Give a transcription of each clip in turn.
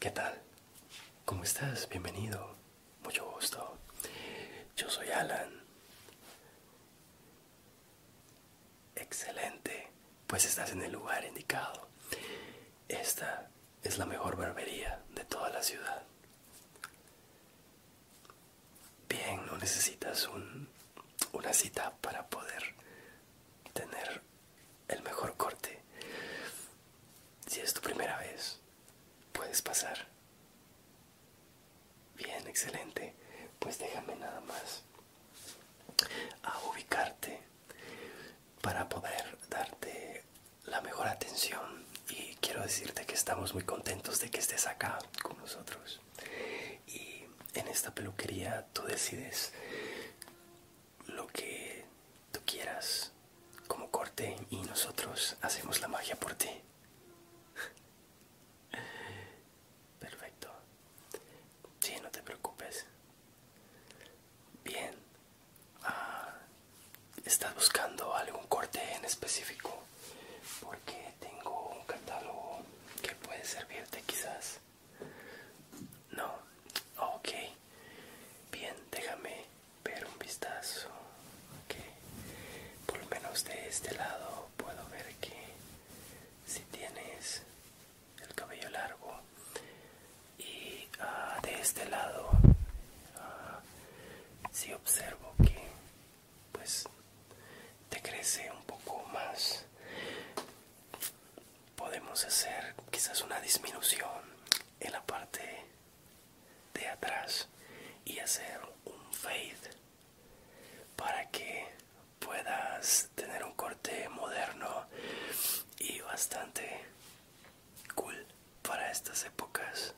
¿Qué tal? ¿Cómo estás? Bienvenido. Mucho gusto. Yo soy Alan. Excelente. Pues estás en el lugar indicado. Esta es la mejor barbería de toda la ciudad bien, no necesitas una cita para poder tener el mejor corte. Si es tu primera vez, puedes pasar. Bien, excelente. Pues déjame nada más a ubicarte para poder darte la mejor atención y quiero decirte que estamos muy contentos de que estés acá con nosotros. Y en esta peluquería tú decides lo que tú quieras como corte y nosotros hacemos la magia por ti. Perfecto. Sí, no te preocupes. Bien. Ah, ¿Estás buscando algún corte en específico? Porque tengo un catálogo que puede servirte quizás. No, ok. Bien, déjame ver un vistazo. que Por lo menos de este lado puedo ver que si tienes el cabello largo y ah, de este lado ah, si observo que pues te crece un poco más podemos hacer quizás una disminución en la parte de atrás y hacer un fade para que puedas tener un corte moderno y bastante cool para estas épocas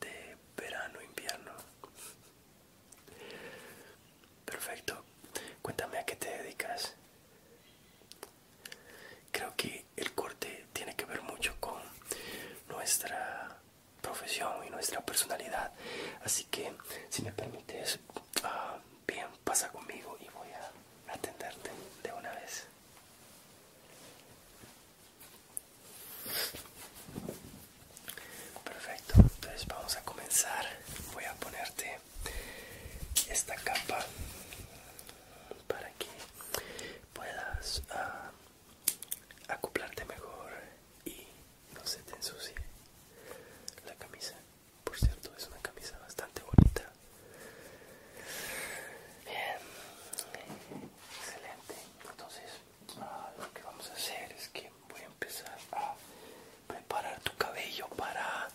de verano, invierno. Perfecto. Cuéntame a qué te dedicas. Creo que el corte tiene que ver mucho con nuestra profesión y nuestra personalidad. Así que, si me permites, ah, bien, pasa conmigo y voy a atenderte de una vez. Perfecto, entonces vamos a comenzar. Voy a ponerte esta capa para que puedas ah, acoplarte mejor y no se te ensucie la camisa. Por cierto, es una camisa bastante bonita. Bien, excelente. Entonces Ah, lo que vamos a hacer es que voy a empezar a preparar tu cabello para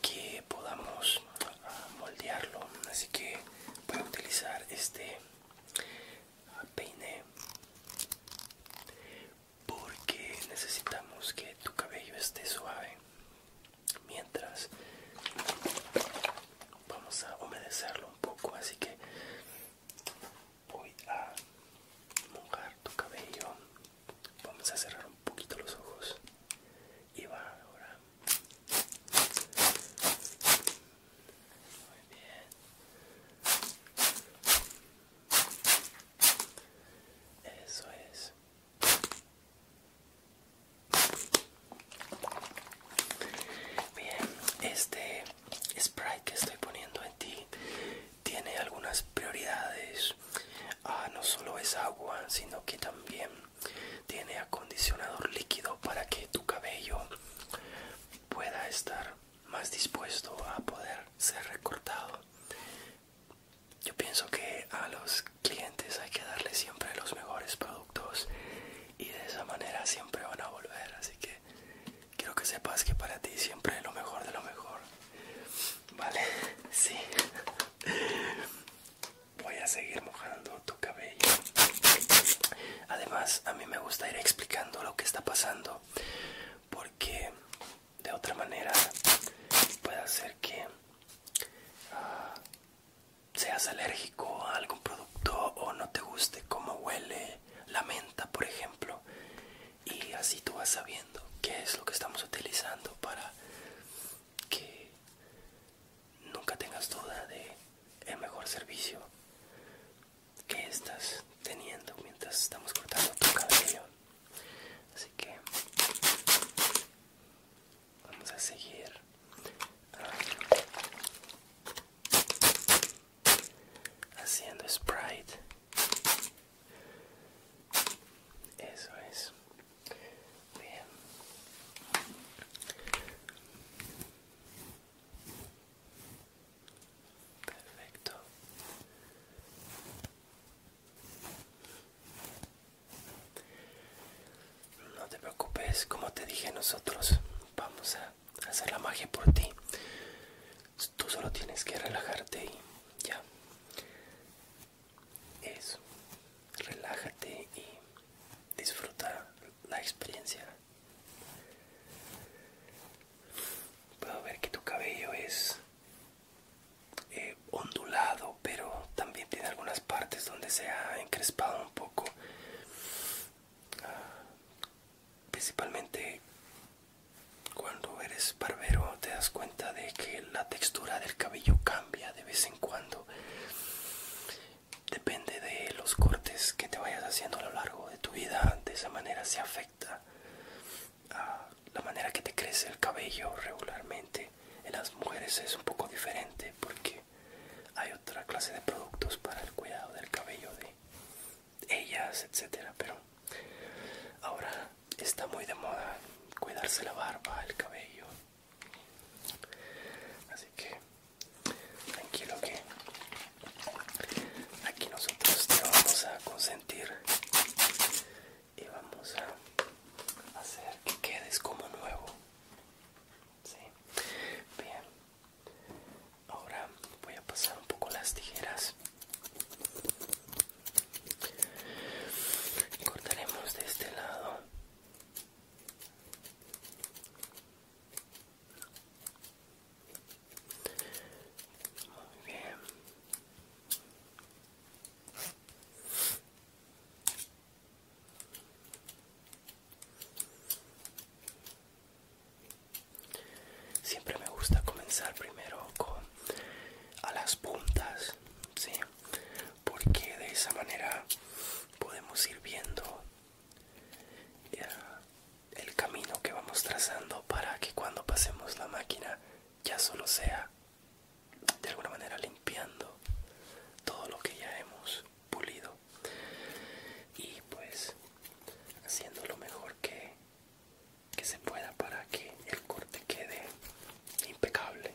que podamos ah, moldearlo así que voy a utilizar este ah, peine porque necesitamos que tu cabello esté suave mientras vamos a humedecerlo un poco así que voy a mojar tu cabello vamos a cerrar un poquito los ojos y va ahora muy bien eso es Bien, este spray que estoy poniendo en ti tiene algunas prioridades. Ah, no solo es agua, sino que también tiene acondicionador líquido para que tu cabello pueda estar más dispuesto a poder ser recortado. Yo pienso que a los clientes hay que darle siempre los mejores productos y de esa manera siempre van a volver. Así que quiero que sepas que para ti siempre es lo mejor de lo mejor. Vale, sí. Voy a seguir mojando tu cabello. Además, a mí me gusta ir explicando lo que está pasando porque de otra manera puede hacer que ah, seas alérgico a algún producto o no te guste cómo huele la menta, por ejemplo. Y así tú vas sabiendo qué es lo que estamos utilizando para que nunca tengas duda de el mejor servicio que estás teniendo mientras estamos cortando tu cabello. Así que vamos a seguir haciendo sprite eso es bien perfecto no te preocupes como te dije nosotros vamos a hacer la magia por ti. Tú solo tienes que relajarte y ya. Eso. Relájate y disfruta la experiencia. Puedo ver que tu cabello es eh, ondulado, pero también tiene algunas partes donde se ha encrespado un poco. Principalmente cuando eres barbero te das cuenta de que la textura del cabello cambia de vez en cuando. Depende de los cortes que te vayas haciendo a lo largo de tu vida. De esa manera se afecta a la manera que te crece el cabello regularmente. En las mujeres es un poco diferente porque hay otra clase de productos para el cuidado del cabello de ellas, etcétera. Pero ahora está muy de moda cuidarse la barba, el cabello. Así que tranquilo que aquí nosotros te vamos a consentir y vamos a hacer que quedes como nuevo. Sí. Bien, Ahora voy a pasar un poco las tijeras. Cortaremos de este lado. Muy bien. Siempre me gusta comenzar primero con a las puntas, porque de esa manera podemos ir viendo eh, el camino que vamos trazando para que cuando pasemos la máquina ya solo sea de alguna manera limpiando todo lo que ya hemos pulido y pues haciendo lo mejor que, que se pueda para que el corte quede impecable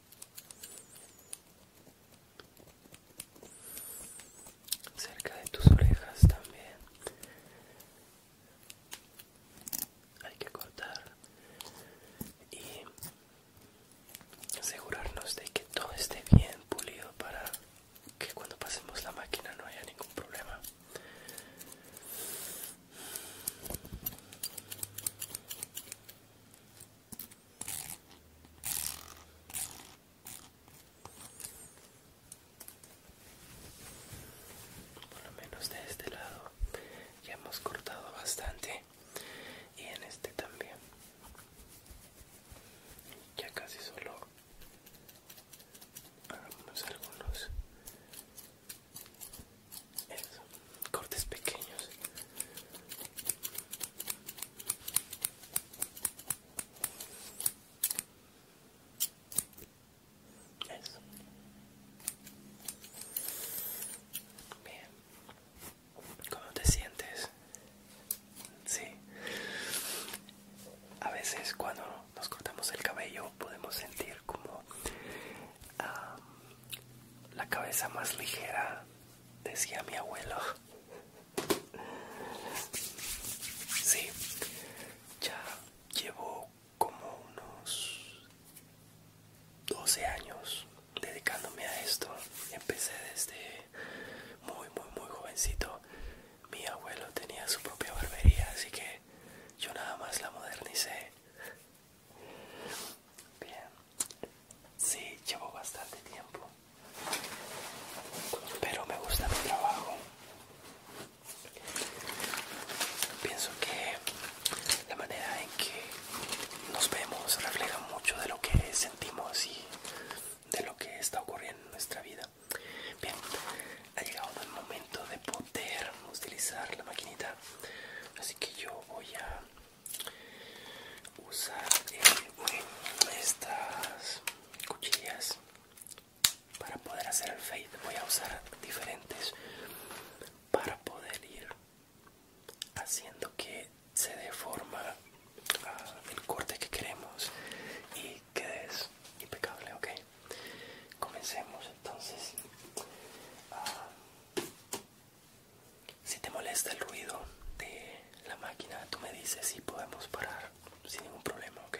cerca de tus orejas también hay que cortar y asegurarnos de que todo esté bien pulido para que cuando pasemos la máquina no haya ningún problema por lo menos de este lado ya hemos cortado bastante y en este también ya casi solo hagamos algunos cortes pequeños ¿Cómo te sientes? Sí. A veces cuando nos cortamos el cabello podemos sentir como ah, la cabeza más ligera decía mi abuelo. Sí, ya llevo como unos 12 años dedicándome a esto. Empecé desde muy, muy, muy jovencito. Mi abuelo tenía su propia barbería, así que yo nada más la modernicé. Bien. Sí, llevo bastante tiempo. Pero me gusta mi trabajo. Pienso que la manera en que nos vemos refleja mucho de lo que sentimos y de lo que está ocurriendo en nuestra vida. Bien, ha llegado el momento de poder utilizar la maquinita. Así que yo voy a usar eh, estas cuchillas para poder hacer el fade voy a usar diferentes para poder ir haciendo que se deforma forma ah, el corte que queremos y quede impecable ok comencemos entonces ah, si te molesta el ruido de la máquina, tú me dices si podemos parar sin ningún problema, ¿ok?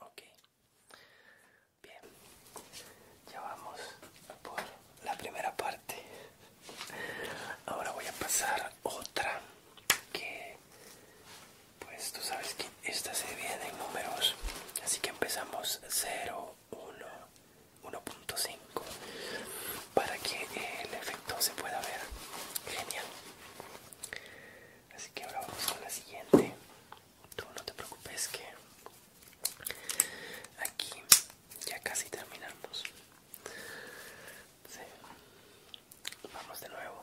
Okay, bien, ya vamos por la primera parte. Ahora voy a pasar otra que pues tú sabes que esta se viene en números, así que empezamos 0, 1, 1.5 para que el efecto se pueda ver. Genial. Así que ahora vamos con la siguiente. Tú no te preocupes que Aquí ya casi terminamos. Vamos de nuevo.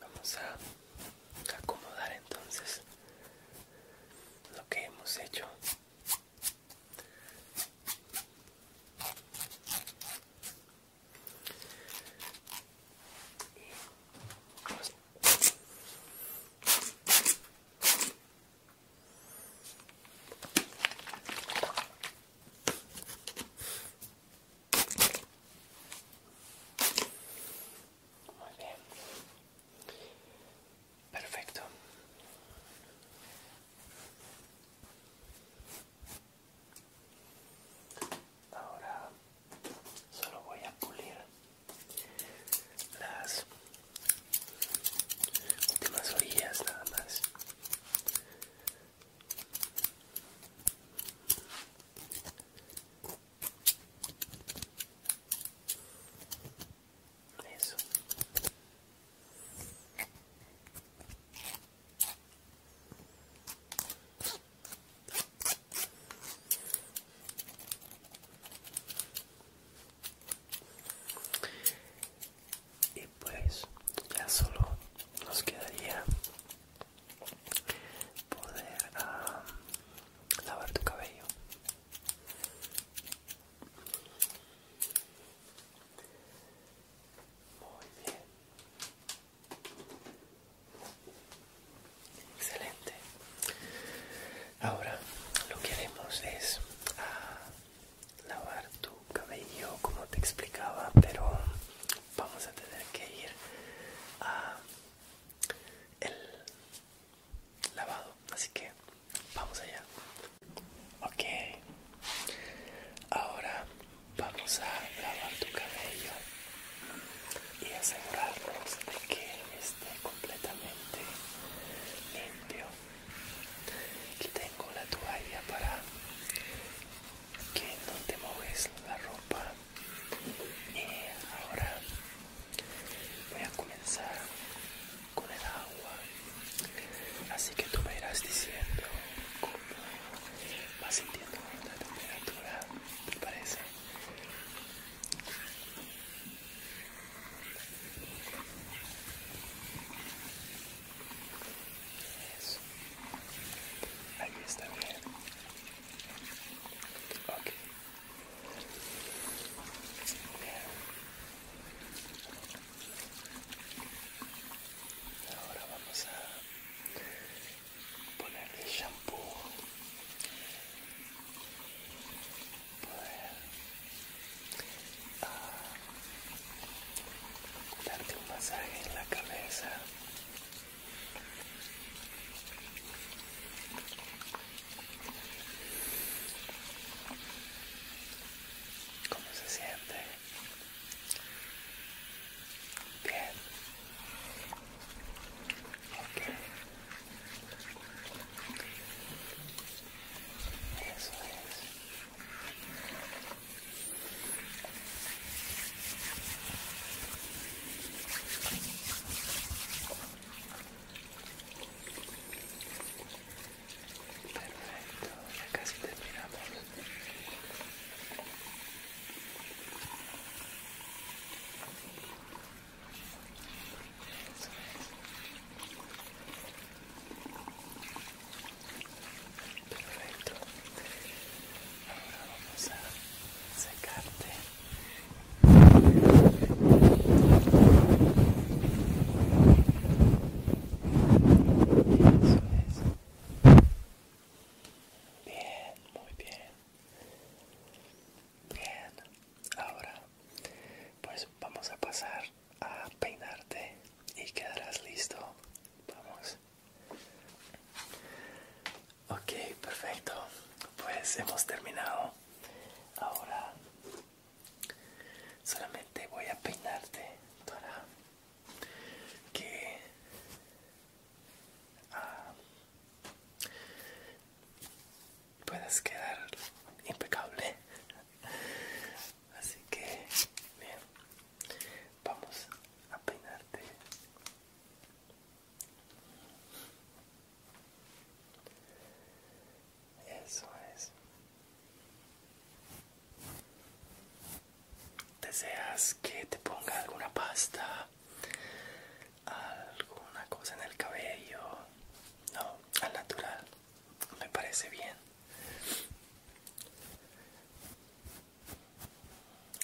Vamos a acomodar entonces lo que hemos hecho. Muy bien. Perfecto. Ahora solo voy a pulir las últimas orillas nada más eso y pues ya solo nos quedaría poder ah, lavar tu cabello muy bien excelente ahora lo que haremos es ah, lavar tu cabello como te explicaba pero vamos a tener que ir a el lavado así que vamos allá ok ahora vamos a lavar tu cabello y asegurarnos de que esté completamente limpio Aquí tengo la toalla para que no te muevas la ropa. Y ahora voy a comenzar con el agua. Así que tú me irás diciendo cómo vas sintiendo la temperatura, ¿te parece? Eso. Ahí está bien. Ok. Ahora vamos a ponerle shampoo poder ah, darte un masaje en la cabeza ¿Cómo se siente? Bien. Eso es. Perfecto, ya casi terminamos. Perfecto. Ahora vamos a secarte. Bien, muy bien. Bien. Ahora pues vamos a pasar a peinarte y quedarás listo. Vamos. Ok, perfecto. Pues hemos terminado. Ahora solamente voy a peinarte para que ah, Puedes quedar impecable. Así que, bien, vamos a peinarte. Eso es. ¿Deseas que te ponga alguna pasta? ¿Alguna cosa en el cabello? No, al natural me parece bien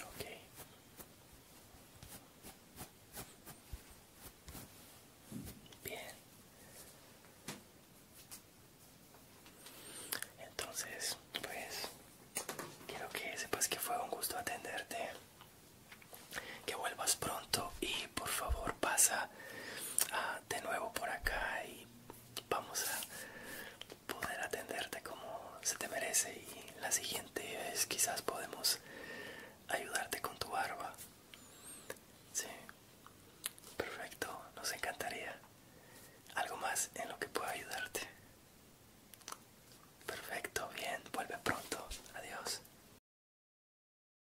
ok bien entonces pues quiero que sepas que fue un gusto atenderte que vuelvas pronto y por favor pasa Ah, de nuevo por acá y vamos a poder atenderte como se te merece y la siguiente vez quizás podemos ayudarte con tu barba. Sí, perfecto, nos encantaría. ¿Algo más en lo que pueda ayudarte? Perfecto, bien, vuelve pronto, adiós.